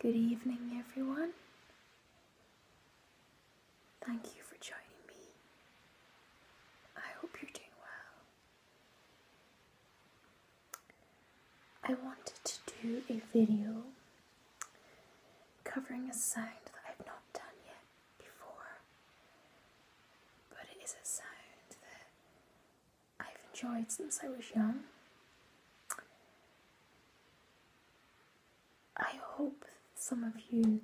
Good evening, everyone. Thank you for joining me. I hope you're doing well. I wanted to do a video covering a sound that I've not done yet before, but it is a sound that I've enjoyed since I was young. I hope some of you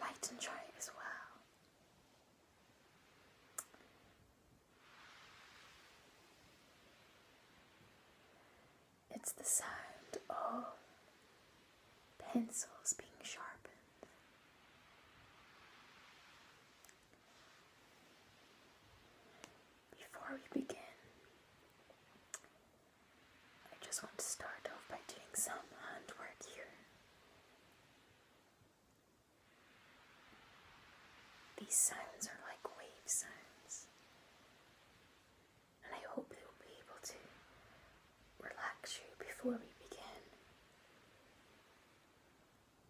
might enjoy it as well. It's the sound of pencils being sharpened before we begin, I just want to start off by doing some hand here. These sounds are like wave sounds, and I hope you'll be able to relax you before we begin.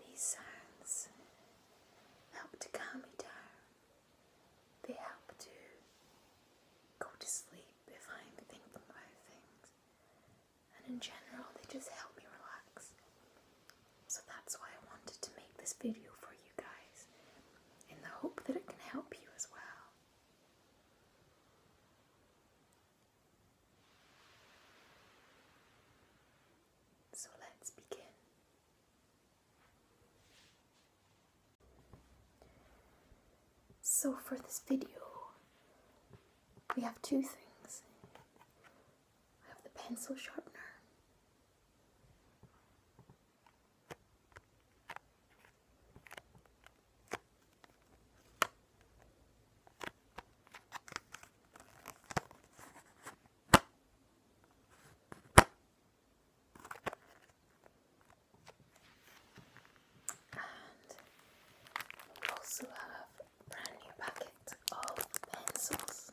These sounds help to calm me down. They help to go to sleep if I'm thinking about things. And in general, they just help me relax. So that's why I wanted to make this video for you guys, in the hope that it can help you as well. So let's begin. So for this video, we have two things. I have the pencil sharpener and we also have a brand new packet of pencils.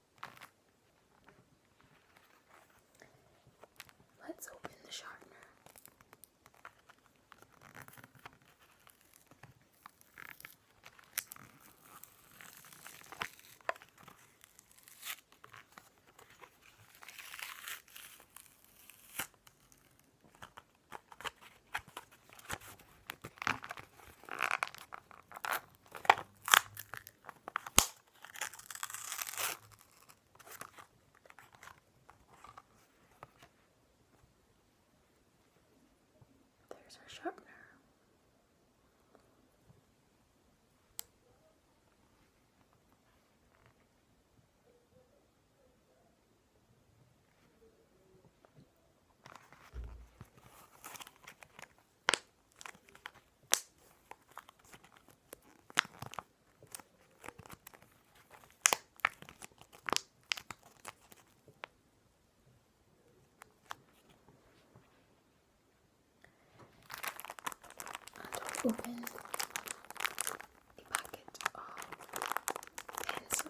Let's open the sharpener. There's our sharpener. And open the packet of pencils.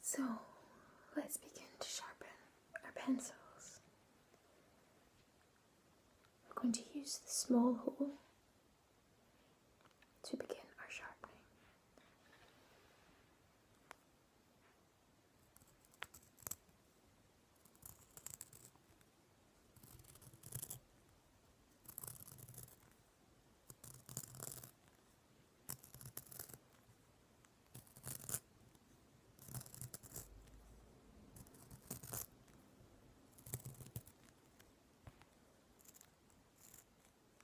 So let's begin to sharpen our pencils. We're going to use the small hole to begin our sharpening.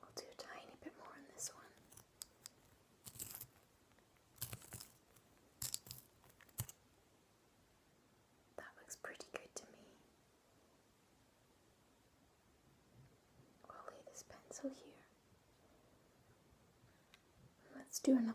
We'll do a tiny bit more on this one. That looks pretty good to me. I'll lay this pencil here. Let's do another one.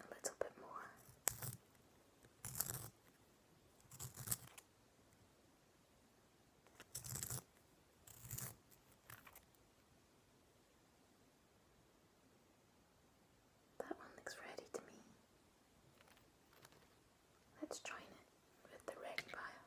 a little bit more. That one looks ready to me. Let's join it with the red pile.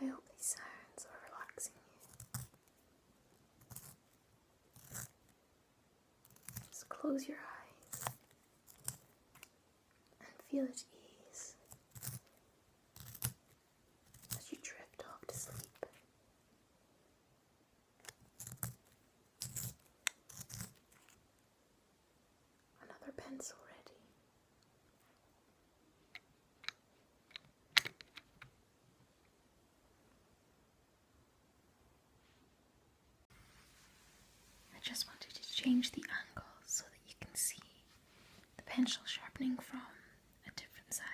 I hope these sounds are relaxing you. Just close your eyes and feel at ease as you drift off to sleep. Another pencil ready. I just wanted to change the angle so that you can see the pencil sharpening from a different side.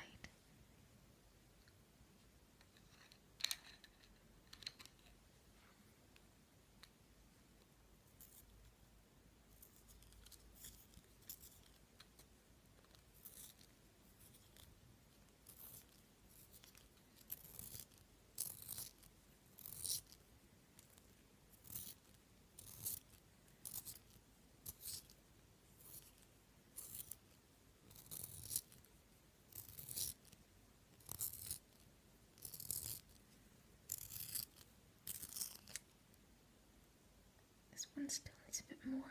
This one still needs a bit more.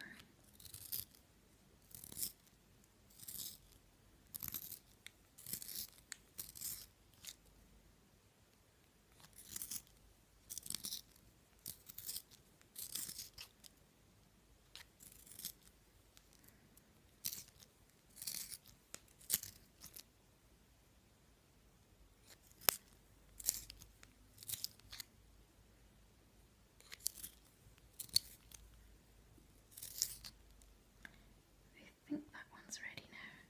I think that one's ready now.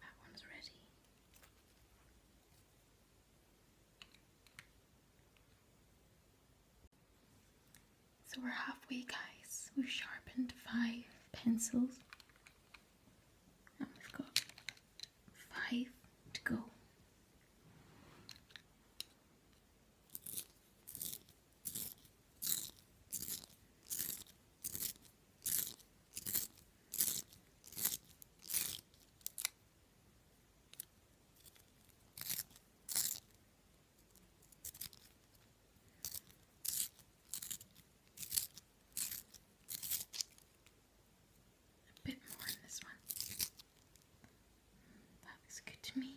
That one's ready. So we're halfway, guys. We've sharpened five pencils, and we've got five to go. A bit more in this one. Mm, that looks good to me.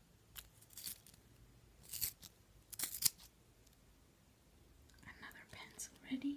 Another pencil ready.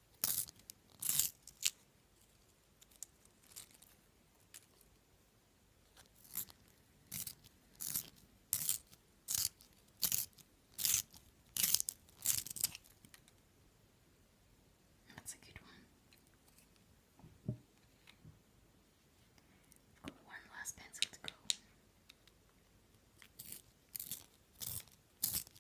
That's a good one. one last pencil to go.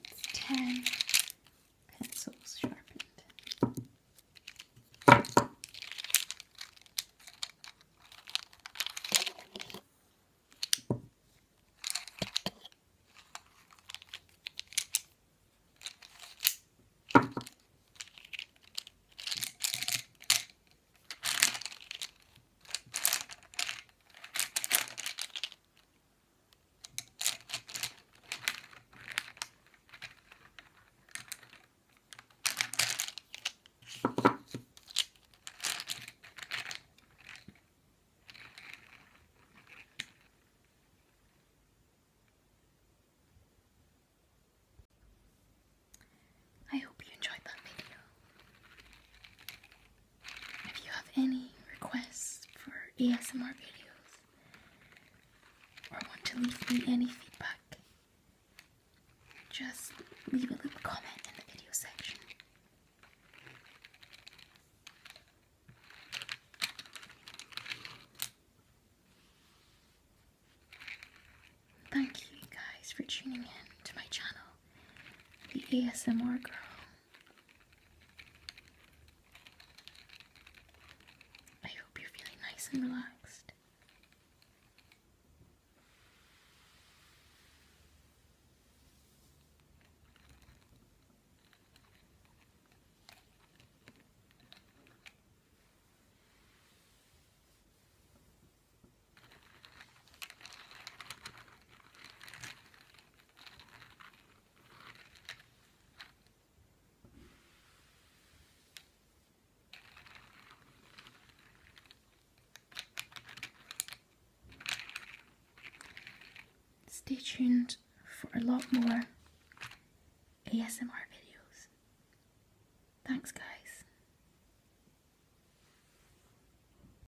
That's 10 pencils sharpened. I hope you enjoyed that video. If you have any requests for ASMR videos or want to leave me any feedback, just leave a comment in the video section. Thank you guys for tuning in to my channel, The ASMR Girl. I hope you're feeling nice and relaxed. Stay tuned for a lot more ASMR videos. Thanks, guys.